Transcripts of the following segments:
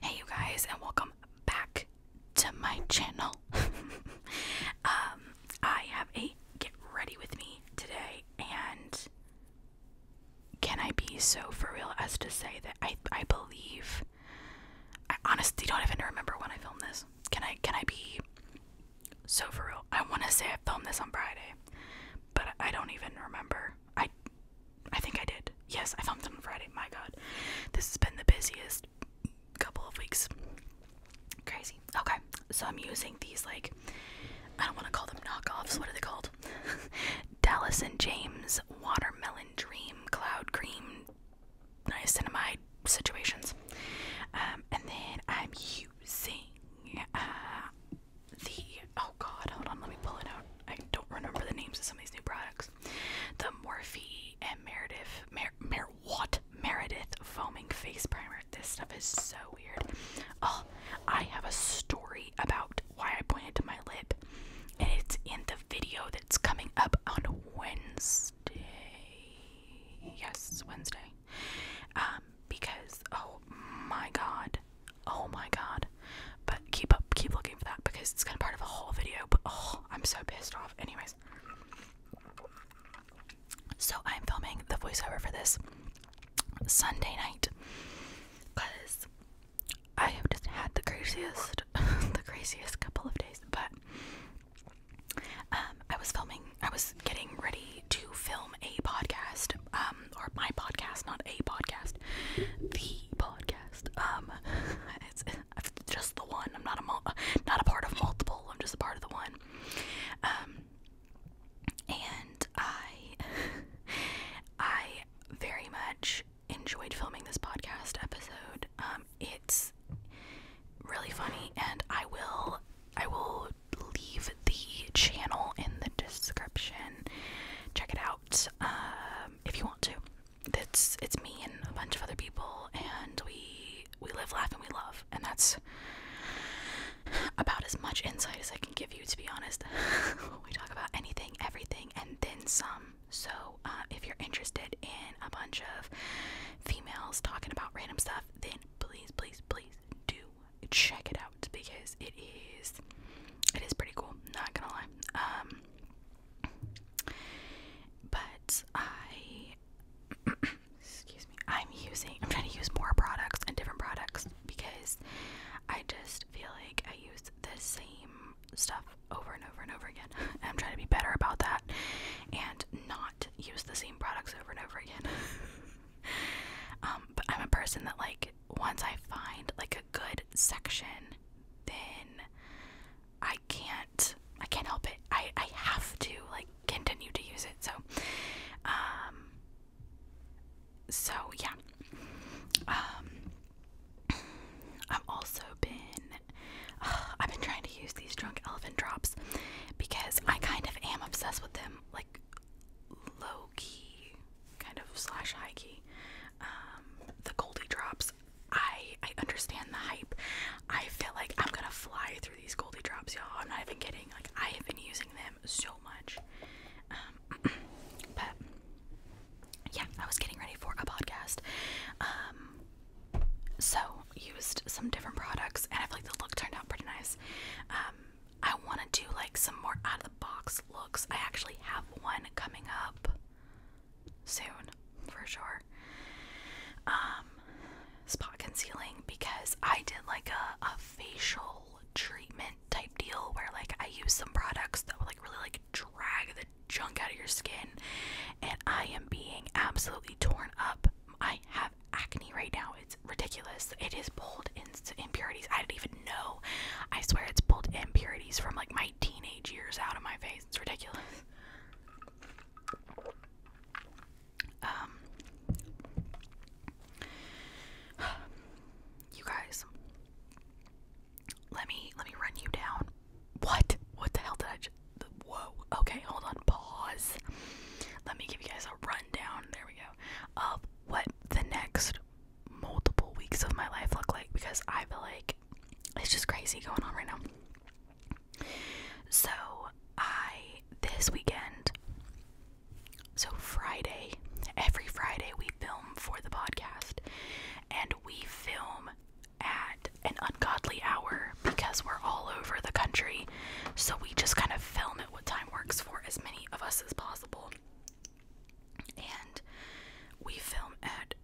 Hey, you guys, and welcome back to my channel. um, I have a get ready with me today, and can I be so for real as to say that I I believe I honestly don't even remember when I filmed this. Can I can I be so for real? I want to say I filmed this on Friday, but I don't even remember. I I think I did. Yes, I filmed them Friday. My god. This has been the busiest couple of weeks. Crazy. Okay. So I'm using these like I don't want to call them knockoffs. What are they called? Dallas and James watermelon dream cloud cream niacinamide situations. Um, and then I'm using uh, the oh god, hold on, let me pull it out. I don't remember the names of some of these new products. The Morphe and Meredith Mer, what Meredith foaming face primer. This stuff is so weird. Oh, I have a story about why I pointed to my lip, and it's in the video that's coming up on Wednesday. Yes, Wednesday. Um, because oh my god, oh my god, but keep up, keep looking for that because it's kind of part of a whole video. But oh, I'm so pissed off. Anyways, so I'm filming the voiceover for this Sunday night because I have just had the craziest, the craziest couple of days. But um, I was filming, I was getting ready to film a podcast, um, or my podcast, not a podcast, the podcast. Um, It's just the one. I'm not a not a part of multiple. I'm just a part of the one. Um, and I, I very much enjoyed filming this podcast episode. Um, it's really funny, and I will I will leave the channel in the description. Check it out um, if you want to that's it's me and a bunch of other people and we we live laugh and we love and that's about as much insight as i can give you to be honest we talk about anything everything and then some so uh, if you're interested in a bunch of females talking about random stuff then please please please do check it out because it is it is pretty cool not gonna lie um but I excuse me, I'm using I'm trying to use more products and different products because I just feel like I use the same stuff over and over and over again. And I'm trying to be better about that and not use the same products over and over again. Um, but I'm a person that like once I find like a good section then I can't I can't help it. I I have to like continue to use it. So um so yeah. Um I've also been I've been trying to use these drunk elephant drops because I kind of am obsessed with them like low key kind of slash high key. Um the Goldie drops I I understand the hype. I feel like I'm gonna fly through these Goldie drops, y'all. I'm not even kidding. Like I have been using them so much. Um, but yeah, I was getting ready for a podcast. Um, so used some different products, and I feel like the look turned out pretty nice. Um, I want to do like some more out of the box looks. I actually have one coming up soon for sure. Um, spot concealing because I did like a, a facial treatment type deal where like I used some products that would like really like drag the junk out of your skin, and I am being absolutely torn up. I have acne right now. It's ridiculous. It is pulled impurities. I do not even know. I swear it's pulled impurities from like my teenage years out of my face it's ridiculous. Um, you guys, let me let me run you down. What? What the hell did I? Just, whoa. Okay, hold on. Pause. Let me give you guys a rundown. There we go. Of what the next multiple weeks of my life look like because I feel like it's just crazy going on right now. So I this weekend so Friday, every Friday we film for the podcast and we film at an ungodly hour because we're all over the country. So we just kind of film at what time works for as many of us as possible. And we film at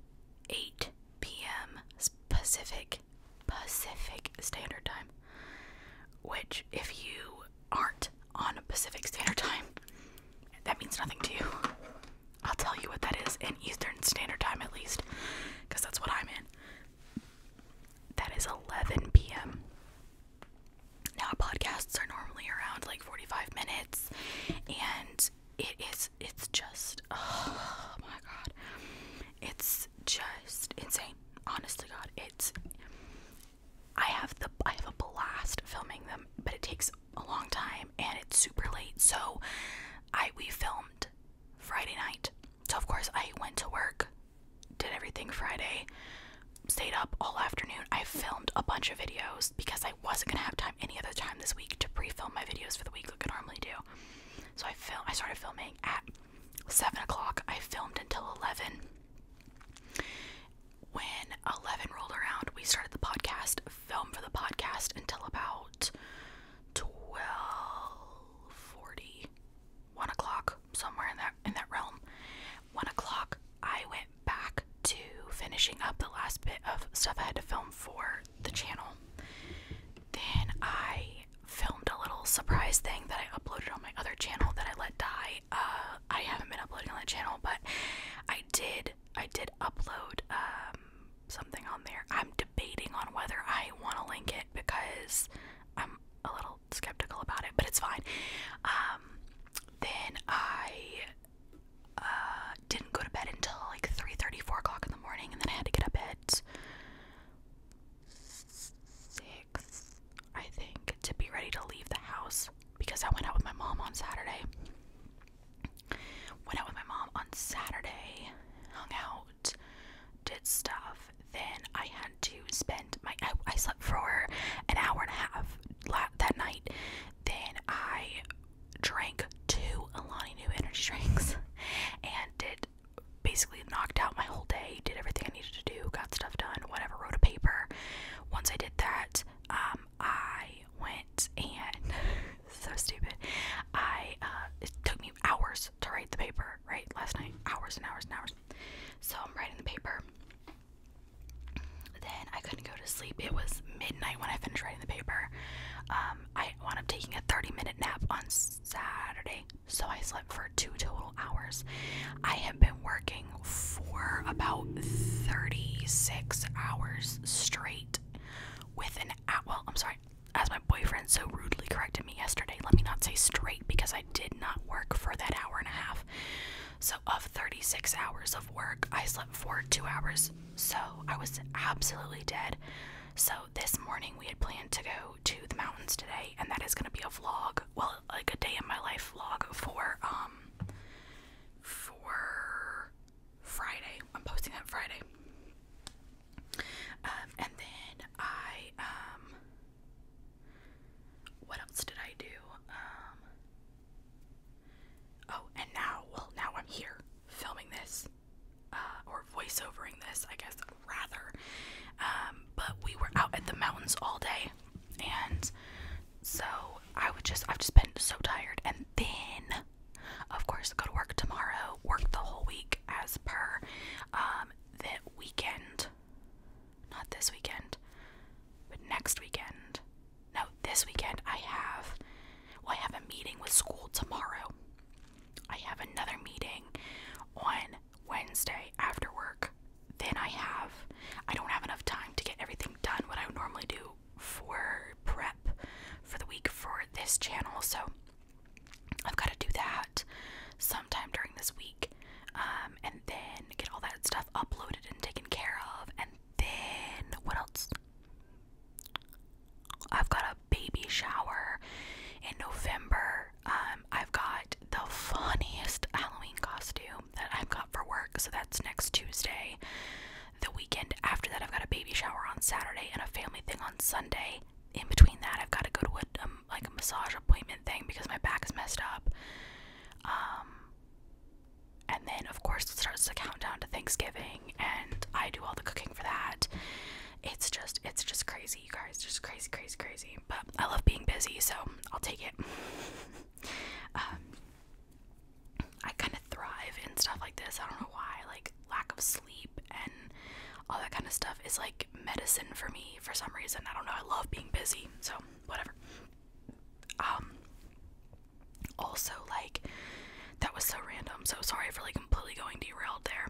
8 p.m. Pacific Pacific Standard Time. Which, if you aren't on Pacific Standard Time, that means nothing to you. I'll tell you what that is in Eastern Standard Time at least, because that's what I'm in. That is 11 p.m. Now, podcasts are normally around like 45 minutes, and it is it's just oh my god it's just insane Honestly, god it's i have the i have a blast filming them but it takes a long time and it's super late so i we filmed friday night so of course i went to work did everything friday stayed up all afternoon i filmed a bunch of videos because i I wasn't gonna have time any other time this week to pre-film my videos for the week like I normally do. So I film. I started filming at seven o'clock. I filmed until eleven. When eleven rolled around, we started the podcast. Film for the podcast until about twelve forty, one o'clock, somewhere in that in that realm. One o'clock, I went back to finishing up the last bit of stuff I had to film for the channel. Then I filmed a little surprise thing that I uploaded on my other channel that I let die. Uh, I haven't been uploading on that channel, but I did. I did upload um, something on there. I'm debating on whether I want to link it because I'm a little skeptical about it, but it's fine. Um, then I uh, didn't go to bed until like three thirty, four o'clock in the morning, and then I had to get up at 6, I think, to be ready to leave the house because I went out with my mom on Saturday. Went out with my mom on Saturday, hung out, did stuff. Then I had to spend my. I slept for an hour and a half that night. Then I drank two Alani New energy drinks and it basically knocked out my whole day, did everything I needed to do, got stuff done, whatever, wrote a paper. Once I did that, um, I went and so stupid. I uh, it took me hours to write the paper, right? Last night, hours and hours and hours. So I'm writing the paper. Then I couldn't go to sleep. It was midnight when I finished writing the paper. Um, um, I wound up taking a 30 minute nap on Saturday, so I slept for two total hours. I have been working for about 36 hours straight with an at. well, I'm sorry, as my boyfriend so rudely corrected me yesterday, let me not say straight because I did not work for that hour and a half. So, of 36 hours of work, I slept for two hours so I was absolutely dead. So this morning we had planned to go to the mountains today, and that is going to be a vlog. Well, like a day in my life vlog for um for Friday. I'm posting that Friday. Um, and then I um what else did I do? Um, oh, and now well now I'm here filming this. Uh, or voiceovering this, I guess, rather. Um, but we were out at the mountains all day, and so I would just, I've just been so tired. And then, of course, go to work tomorrow, work the whole week as per um, weekend. Not this weekend, but next weekend. No, this weekend I have well, oh, I have a meeting with school tomorrow. I have another meeting on Wednesday after work. Then I have, I don't have enough time to get everything done, what I normally do for prep for the week for this channel. So I've got to do that sometime during this week. Um, and then get all that stuff uploaded and taken care of. And then, what else? I've got a baby shower in November. Um, I've got the funniest Halloween costume that I've got for work, so that's next Tuesday. The weekend after that, I've got a baby shower on Saturday and a family thing on Sunday. In between that, I've got to go to a, um, like a massage appointment thing because my back is messed up. Um, and then, of course, it starts to count down to Thanksgiving and I do all the cooking for that. It's just it's just crazy, guys. Just crazy, crazy, crazy. But I love being busy, so I'll take it. Um, I kind of thrive in stuff like this. I don't know why. Like lack of sleep and all that kind of stuff is like medicine for me for some reason. I don't know. I love being busy. So, whatever. Um also, like, that was so random. So sorry for like completely going derailed there.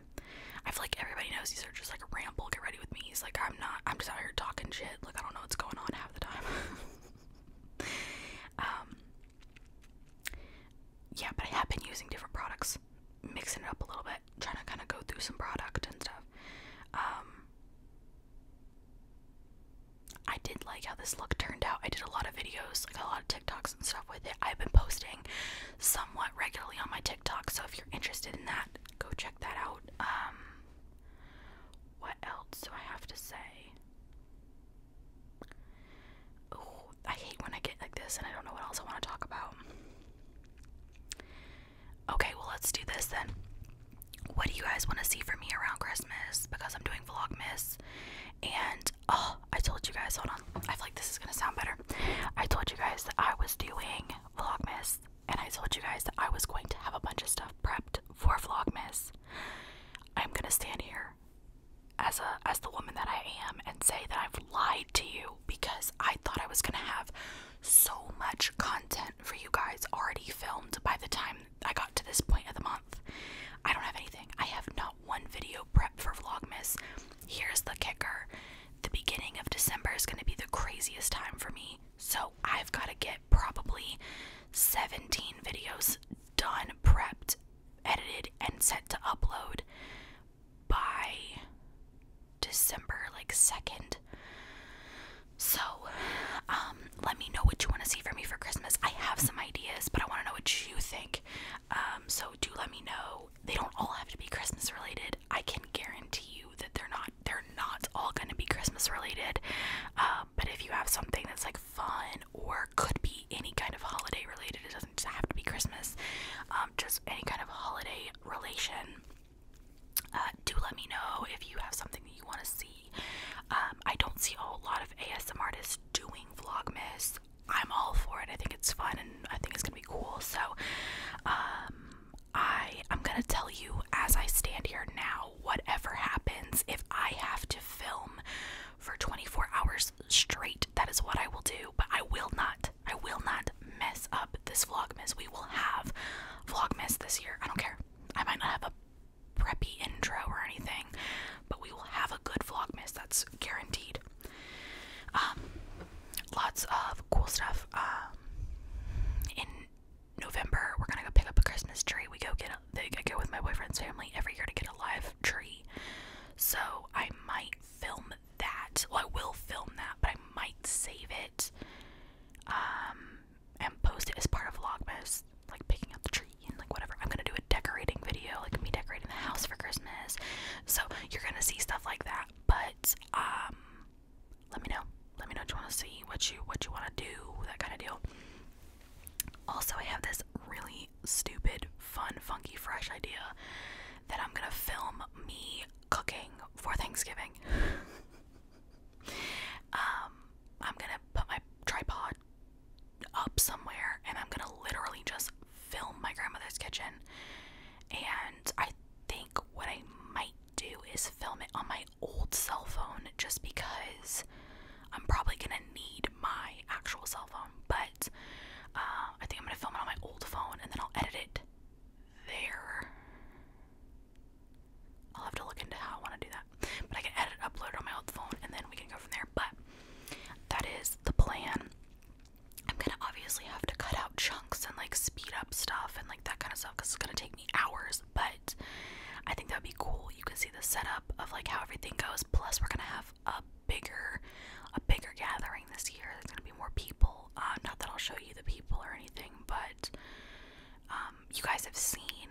I feel like everybody knows these are just like a ramble. Get ready with me. He's like, I'm not. I'm just out here talking shit. Like I don't know what's going on half the time. um. Yeah, but I have been using different products, mixing it up a little bit, trying to kind of go through some product and stuff. Um. I did like how this look turned out. I did a lot of videos, like a lot of TikToks stuff with it. I've been posting somewhat regularly on my TikTok, so if you're interested in that, go check that out. Um, what else do I have to say? Oh, I hate when I get like this and I don't know what else I want to talk about. Okay, well, let's do this then. What do you guys want to see from me around Christmas? Because I'm doing Vlogmas and oh I told you guys hold on I feel like this is gonna sound better I told you guys that I was doing vlogmas and I told you guys that I was going to have a bunch of stuff prepped for vlogmas I'm gonna stand here as a as the woman that I am and say that I've lied to you because I thought I was gonna have so much content for you guys already filmed by the time I got to this point of the month. I don't have anything. I have not one video prep for Vlogmas. Here's the kicker the beginning of December is going to be the craziest time for me. So I've got to get probably 17 videos done, prepped, edited, and set to upload by December like 2nd. So, um, let me know what you want to see from me for Christmas. I have some ideas, but I want to know what you think. Um, so do let me know. They don't all have to be Christmas related. I can guarantee you that they're not. They're not all going to be Christmas related. Um, but if you have something that's like fun or could be any kind of holiday related, it doesn't just have to be Christmas. Um, just any kind of holiday relation. Uh, do let me know if you have something that you want to see. Um, I don't see a lot of ASM artists doing Vlogmas. I'm all for it. I think it's fun and I think it's gonna be cool. So, um, I I'm gonna tell you as I stand here now. Whatever happens, if I have to film for 24 hours straight, that is what I will do. But I will not. I will not mess up this vlogmas. We will have vlogmas this year. I don't care. I might not have a preppy intro or anything, but we will have a good vlogmas. That's guaranteed. Um, lots of cool stuff. Um, in November, we're gonna go pick up a Christmas tree. We go get a, go with my boyfriend's family every year to get a live tree. So I might film that. Well, I will film that, but I might save it. Um, and post it as part of Vlogmas, like picking up the tree like whatever. I'm gonna do a decorating video, like me decorating the house for Christmas. So you're gonna see stuff like that. But um let me know. Let me know what you wanna see, what you what you wanna do, that kind of deal. Also I have this really stupid, fun, funky, fresh idea that I'm gonna film me cooking for Thanksgiving. um, I'm gonna put my tripod up somewhere and I'm gonna literally just film my grandmother's kitchen. And I think what I might do is film it on my old cell phone just because I'm probably gonna need my actual cell phone. But uh, I think I'm gonna film it on my old phone and then I'll edit it there. I'll have to look into how I want to do that. But I can edit, upload on my old phone, and then we can go from there. But that is the plan. I'm gonna obviously have to cut out chunks and like speed up stuff and like that kind of stuff because it's gonna take me hours, but I think that would be cool. You can see the setup of like how everything goes. Plus, we're gonna have a bigger, a bigger gathering this year. There's gonna be more people. Uh, not that I'll show you the people or anything, but um, you guys have seen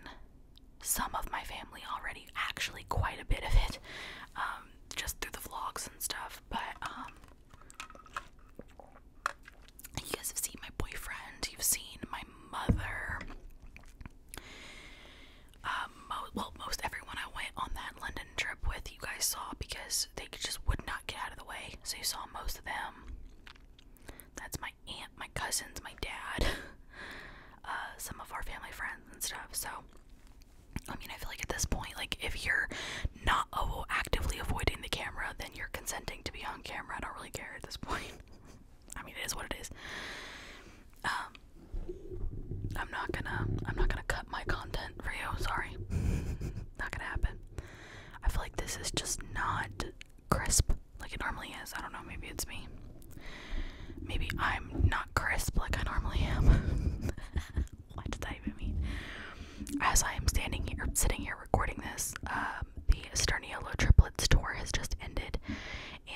some of my family already. Actually, quite a bit of it. Um, just through the vlogs and stuff, but um you guys have seen my boyfriend, you've seen my mother. Um, well, most everyone I went on that London trip with, you guys saw because they just would not get out of the way. So you saw most of them. That's my aunt, my cousins, my dad, uh, some of our family friends and stuff. So I mean, I feel like at this point, like if you're not actively avoiding the camera, then you're consenting to be on camera. I don't really care at this point. I mean, it is what it is. Um, I'm not gonna, I'm not gonna cut my content for you. Sorry, not gonna happen. I feel like this is just not crisp like it normally is. I don't know. Maybe it's me. Maybe I'm not crisp like I normally am. what did that even mean? As I am standing here, sitting here recording this, um, the Sterniolo Triplets tour has just ended,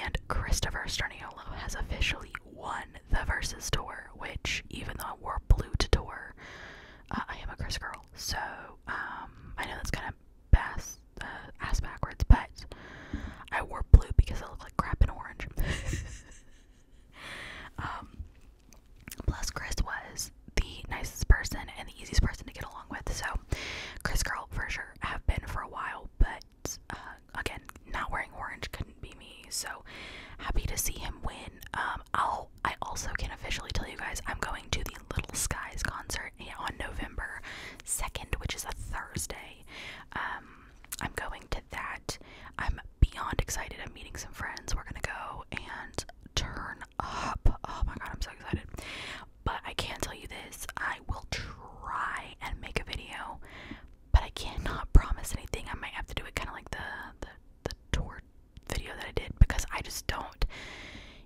and Christopher Sterniolo has officially won the Versus tour. Which, even though I wore blue to tour, uh, I am a Chris girl, so um, I know that's kind of bass uh, ass backwards, but I wore blue because I look like crap in orange. Um, plus, Chris was the nicest person and the easiest person to get along with. So, Chris Girl for sure have been for a while, but uh, again, not wearing orange couldn't be me. So happy to see him win. Um, I'll I also can officially tell you guys I'm going to the Little Skies concert on November second, which is a Thursday. Um, I'm going to that. I'm beyond excited. I'm meeting some friends. We're gonna go and turn up. Oh my god, I'm so excited. But I can not tell you this I will try and make a video, but I cannot promise anything. I might have to do it kind of like the, the the tour video that I did because I just don't.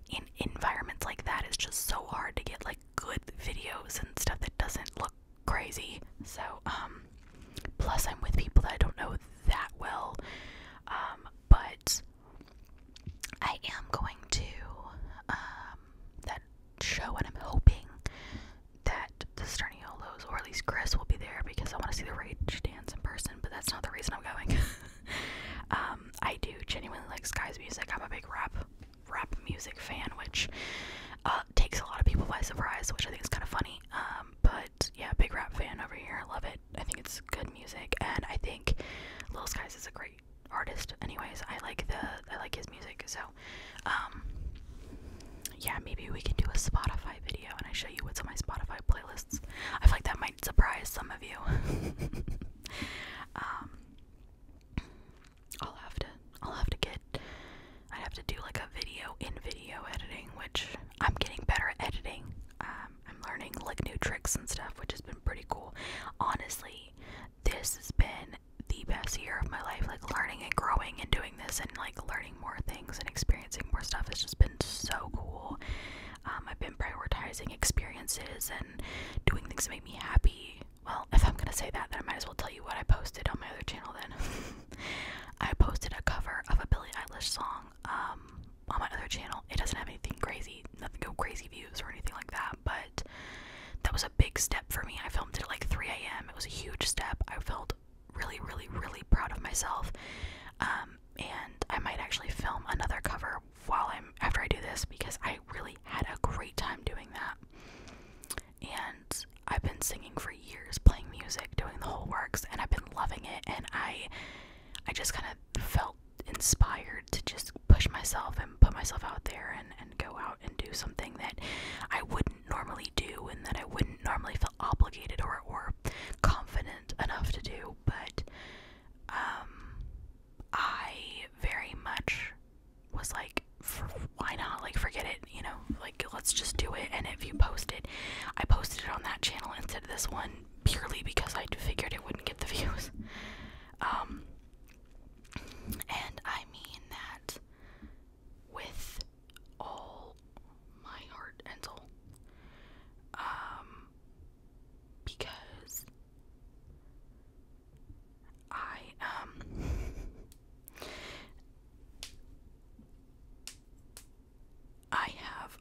In environments like that, it's just so hard to get like good videos and stuff that doesn't look crazy. So, um, plus I'm with people that I don't know that well. Um, but I am going to, um, that show and I'm hoping that the Sterniolos, or at least Chris, will be there because I want to see the Rage Dance in person, but that's not the reason I'm going. um, I do genuinely like Sky's music. I'm a big rap, rap music fan, which, um, takes a lot of people by surprise, which I think is kind of funny. Um, but yeah, big rap fan over here. I Love it. I think it's good music, and I think Lil Skies is a great artist. Anyways, I like the I like his music. So, um, yeah, maybe we can do a Spotify video, and I show you what's on my Spotify playlists. I feel like that might surprise some of you. um, I'll have to I'll have to get I have to do like a video in video editing, which I'm getting better at editing. Um, I'm learning like new tricks and stuff, which has been pretty cool. Honestly, this has been the best year of my life. Like learning and growing and doing this and like learning more things and experiencing more stuff has just been so cool. Um, I've been prioritizing experiences and doing things that make me happy. Well, if I'm gonna say that, then I might as well tell you what I posted on my other channel then. I posted a cover of a Billie Eilish song um, on my other channel. It doesn't have anything crazy, nothing go crazy views or anything like that, but that was a big step for me. I filmed it like 3 a.m. It was a huge step. I felt really, really, really proud of myself. Um, and I might actually film another cover while I'm after I do this because I really had a great time doing that and I've been singing for years, playing music, doing the whole works, and I've been loving it. And I, I just kind of felt inspired to just push myself and put myself out there and, and go out and do something that I wouldn't normally do and that I wouldn't normally feel obligated or, or confident enough to do. But um, I very much was like, why not like forget it you know like let's just do it and if you post it i posted it on that channel instead of this one purely because i figured it wouldn't get the views um and i mean that with all my heart and soul um because I um I have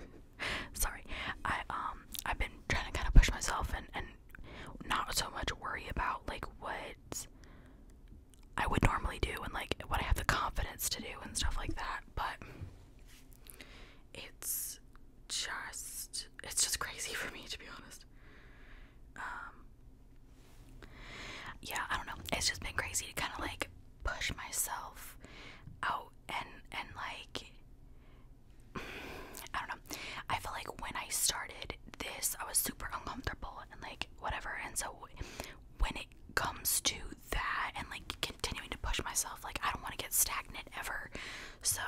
sorry, I um I've been trying to kind of push myself and and not so much worry about like what I would normally do and like what I have the confidence to do and stuff like that, but it's just it's just crazy for me to be honest. Um yeah, I don't know. It's just been crazy to kind of like push myself out and and like I don't know. I feel like when I started this, I was super uncomfortable and like whatever. And so when it comes to that and like continuing to push myself, like I don't want to get stagnant ever. So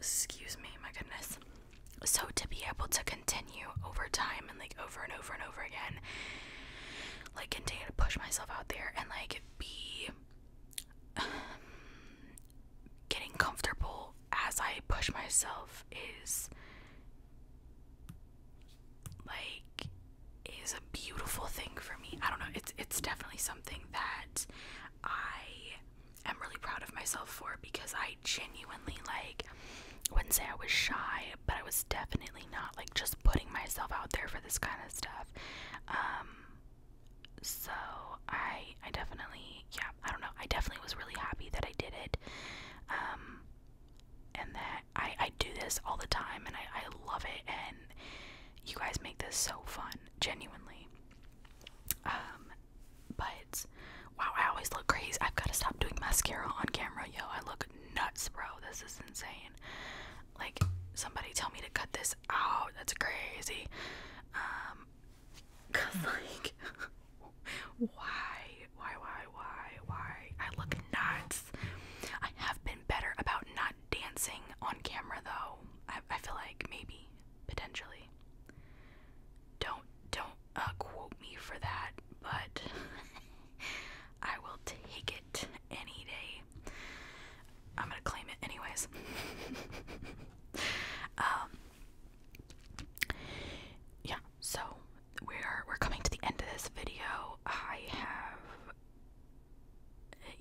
excuse me, my goodness. So to be able to continue over time and like over and over and over again, like continue to push myself out there and like be um, getting comfortable as I push myself is like is a beautiful thing for me. I don't know, it's it's definitely something that I am really proud of myself for because I genuinely like wouldn't say I was shy, but I was definitely not like just putting myself out there for this kind of stuff. Um so I I definitely yeah, I don't know. I definitely was really happy that I did it. Um and that I, I do this all the time and I, I love it and you guys make this so fun, genuinely. Um, but wow, I always look crazy. I've got to stop doing mascara on camera. Yo, I look nuts, bro. This is insane. Like, somebody tell me to cut this out. That's crazy. Um, cause like, why, why, why, why, why? I look nuts. I have been better about not dancing on camera though. I, I feel like maybe, potentially. Don't don't uh, quote me for that, but I will take it any day. I'm gonna claim it anyways. um, yeah, so we're we're coming to the end of this video. I have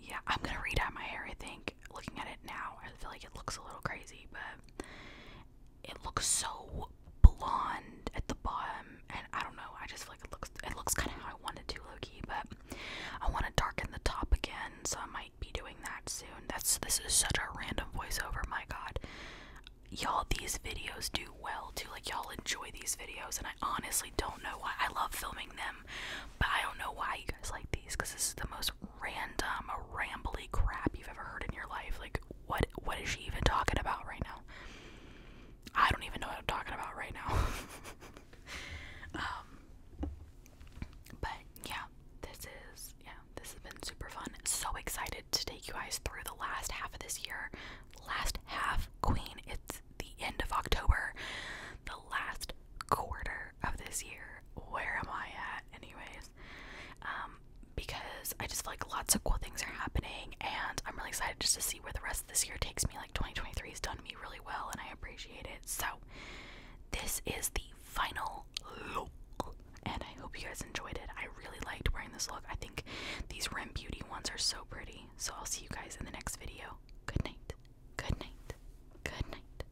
yeah, I'm gonna read out my hair. I think looking at it now, I feel like it looks a little crazy, but it looks so blonde at the bottom and I don't know, I just feel like it looks it looks kinda how I wanted to low-key, but I wanna darken the top again, so I might be doing that soon. That's this is such a random voiceover, my god. Y'all these videos do well too. Like y'all enjoy these videos and I honestly don't know why I love filming them, but I don't know why you guys like these because this is the most random rambly crap you've ever heard in your life. Like what what is she even talking about right now? I don't even know what I'm talking about right now. um but yeah, this is yeah, this has been super fun. So excited to take you guys through the last half of this year. Last half, Queen. It's the end of October. The last quarter of this year. Where am I at anyways? Um because I just feel like lots of cool things are happening, and I'm really excited just to see where the rest of this year takes me. Like 2023 has done me really well, and I appreciate it. So, this is the final look, and I hope you guys enjoyed it. I really liked wearing this look. I think these Rim Beauty ones are so pretty. So, I'll see you guys in the next video. Good night. Good night. Good night.